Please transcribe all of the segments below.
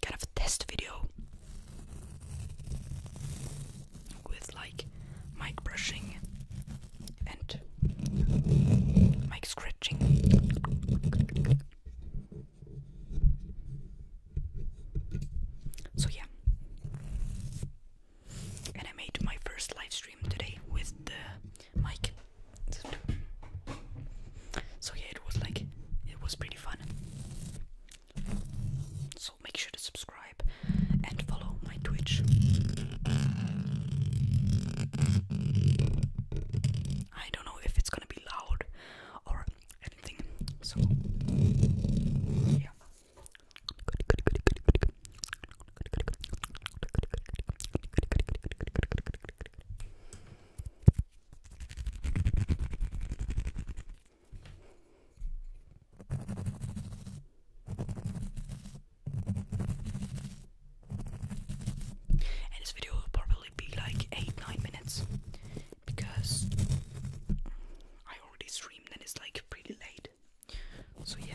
kind of a test video with like mic brushing and mic scratching. So, yeah, and I made my first live stream today with the mic. So yeah, it was like it was pretty fun. So make sure to subscribe and follow my Twitch. I don't know if it's gonna be loud or anything. So yeah. And this video will probably be like 8-9 minutes because I already streamed and it's like pretty late. So yeah.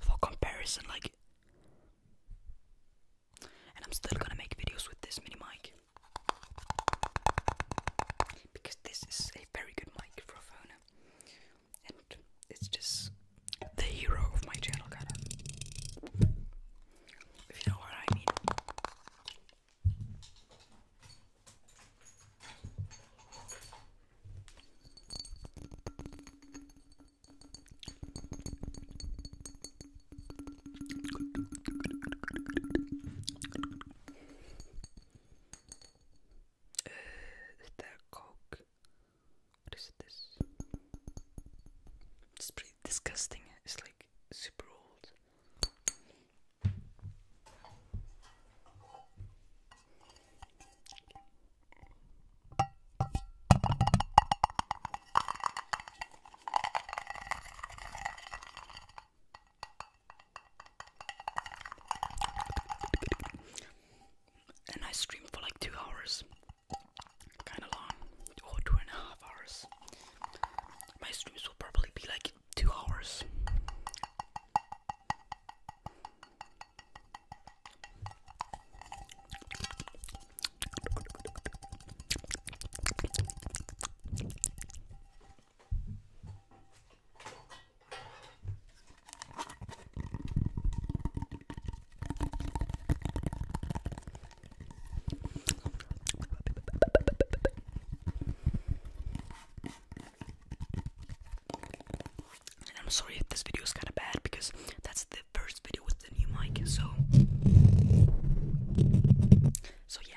For comparison, like, and I'm still gonna make videos with this mini mic because this is a very good microphone and it's just the hero of my channel if you know what I mean uh, eh, that coke? What is this? It's pretty disgusting. It's like super old. And I stream for like two hours. Kinda long. Or oh, two and a half hours. My streams will probably be like two hours. I'm sorry if this video is kind of bad because that's the first video with the new mic, so so yeah.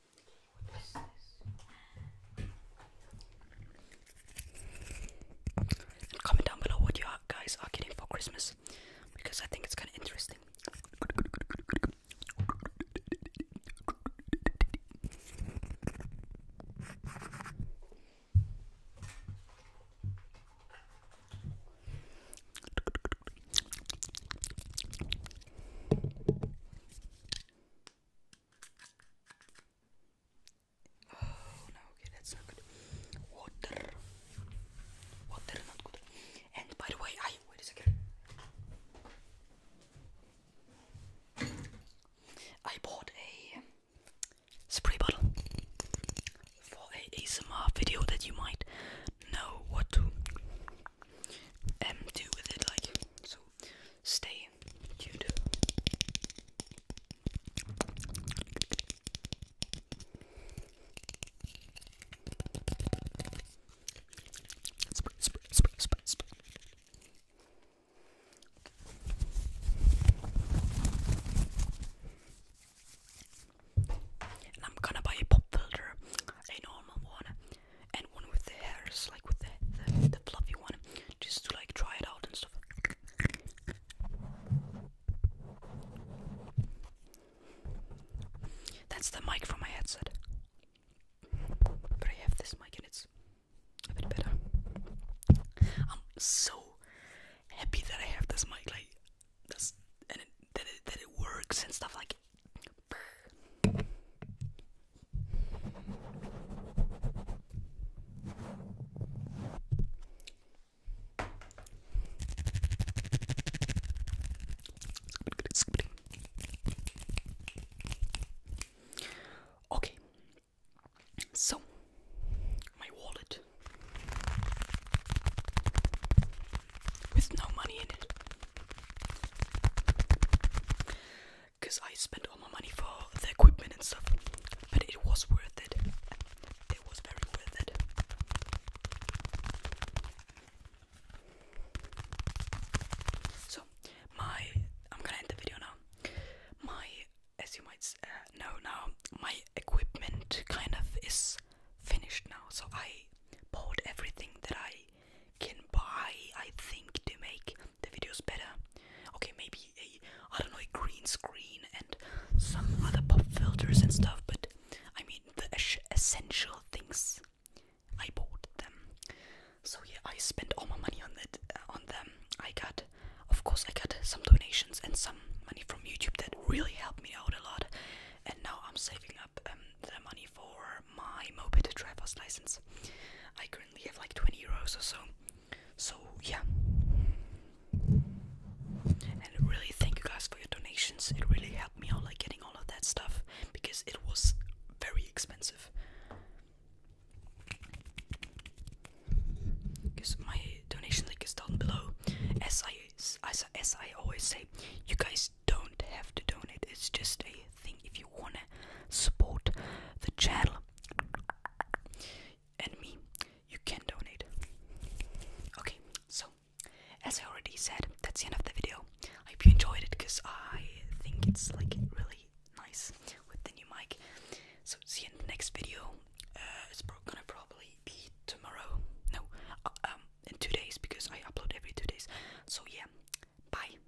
comment down below what you guys are getting for Christmas because I think it's kind of interesting. Oh no, okay, that's not good. Water. Water not good. And by the way, I wait a second. I bought a spray bottle for a ASMR video that you might know what to um, do with it like so stay tuned. Spray, spray, spray, I'm gonna buy a pop filter, a normal one, and one with the hairs, like with the, the, the fluffy one, just to like try it out and stuff. That's the mic from my headset. But I have this mic and it's a bit better. I'm so happy that I have this mic, like, this, and that, it, that it works and stuff like. Okay, so my wallet with no money in it because I spent all my money for the equipment and stuff, but it was worth it. It was very worth it. So, my I'm gonna end the video now. My, as you might uh, know now, my equipment kind of is finished now. So I bought everything that I can buy. I think to make the video's better. Okay, maybe a I don't know a green screen and some other pop filters and stuff, but I mean the essential things. I bought them, so yeah, I spent all my money on that uh, on them. I got, of course, I got some donations and some money from YouTube that really helped me out a lot, and now I'm saving up um, the money for my moped driver's license. I currently have like 20 euros or so. So, yeah. And I really thank you guys for your donations. It really helped me out, like getting all of that stuff because it was very expensive. Because my donation link is down below. As I, as, as I always say, you guys don't have to donate, it's just a thing if wanna support the channel and me, you can donate. Okay, so as I already said, that's the end of the video. I hope you enjoyed it because I think it's like really nice with the new mic. So see you in the next video. Uh, it's pro gonna probably be tomorrow. No, uh, um, in two days because I upload every two days. So yeah, bye.